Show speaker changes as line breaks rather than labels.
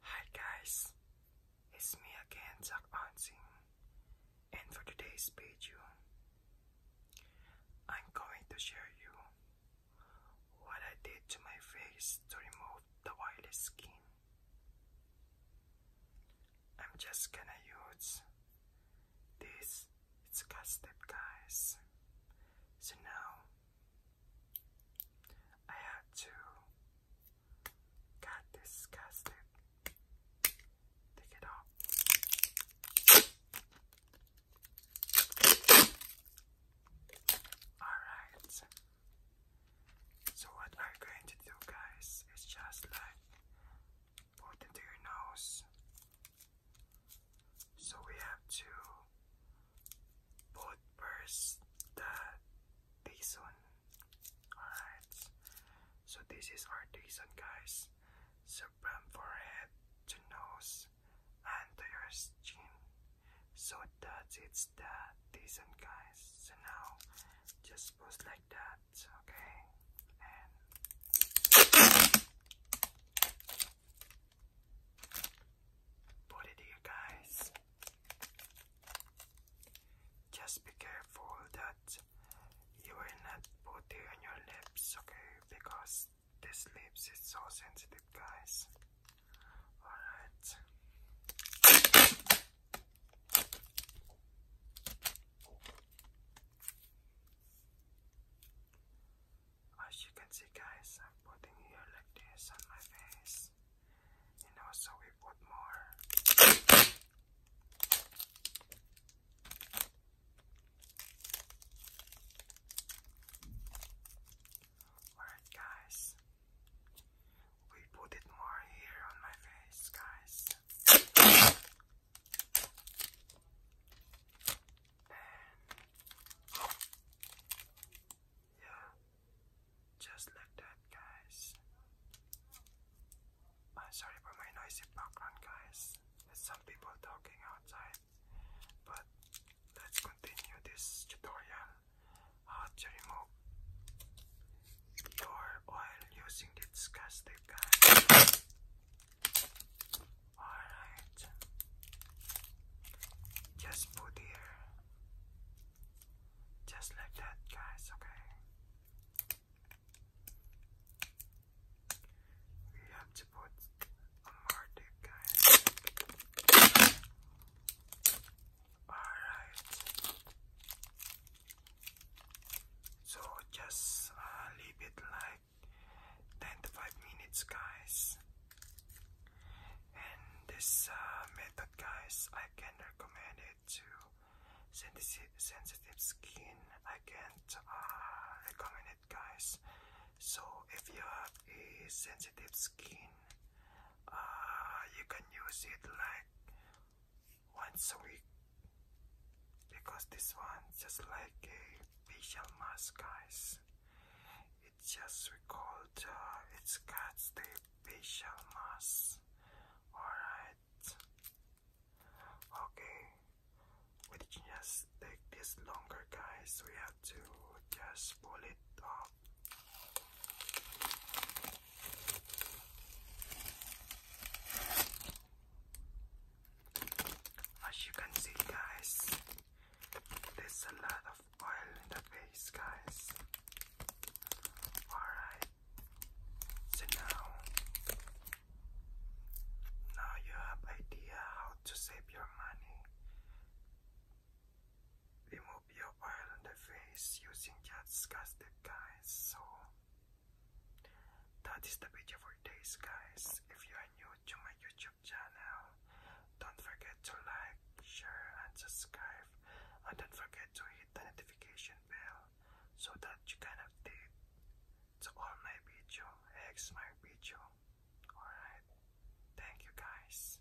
Hi guys, it's me again, Zach Ansing, and for today's video, I'm going to share you what I did to my face to remove the oily skin. I'm just gonna use this, it's step, guys. So now I have to get disgusted. take it off. Alright. So what we're going to do guys is just like put into your nose. So we have to put first the Dyson. Alright. So this is our Dyson guys. So from forehead to nose and your skin so that's it's the decent guys so now just post like that okay and put it guys just be careful that you will not put it on your lips, okay? Because this lips is so sensitive, guys. Alright. As you can see, guys, I'm putting here like this on my face. And also we put more. Alright, guys, we put it more here on my face, guys. And yeah, just like that, guys. I'm uh, sorry for my noisy background, guys. There's some people talking outside. But let's continue this tutorial how to remove your oil using this gas Alright, just put here just like that, guys, okay? We have to put a more dip, guys. Alright. So just uh, leave it like 10 to 5 minutes, guys and this uh, method guys I can recommend it to sensitive sensitive skin I can't uh, recommend it guys so if you have a sensitive skin uh, you can use it like once a week because this one just like a facial mask guys it just recalled. Uh, it's got the facial mask. Alright. Okay. We just take this longer, guys. We have to just pull it up. As you can see, guys, there's a lot of oil in the face, guys. Alright. So now, now you have idea how to save your money. Remove your oil on the face using just casted guys. So that is the video for today's guys. If you are new to my YouTube channel. Don't forget to like, share, and subscribe. And don't forget to hit the notification bell so that you can update to all my video, X my video. Alright, thank you guys.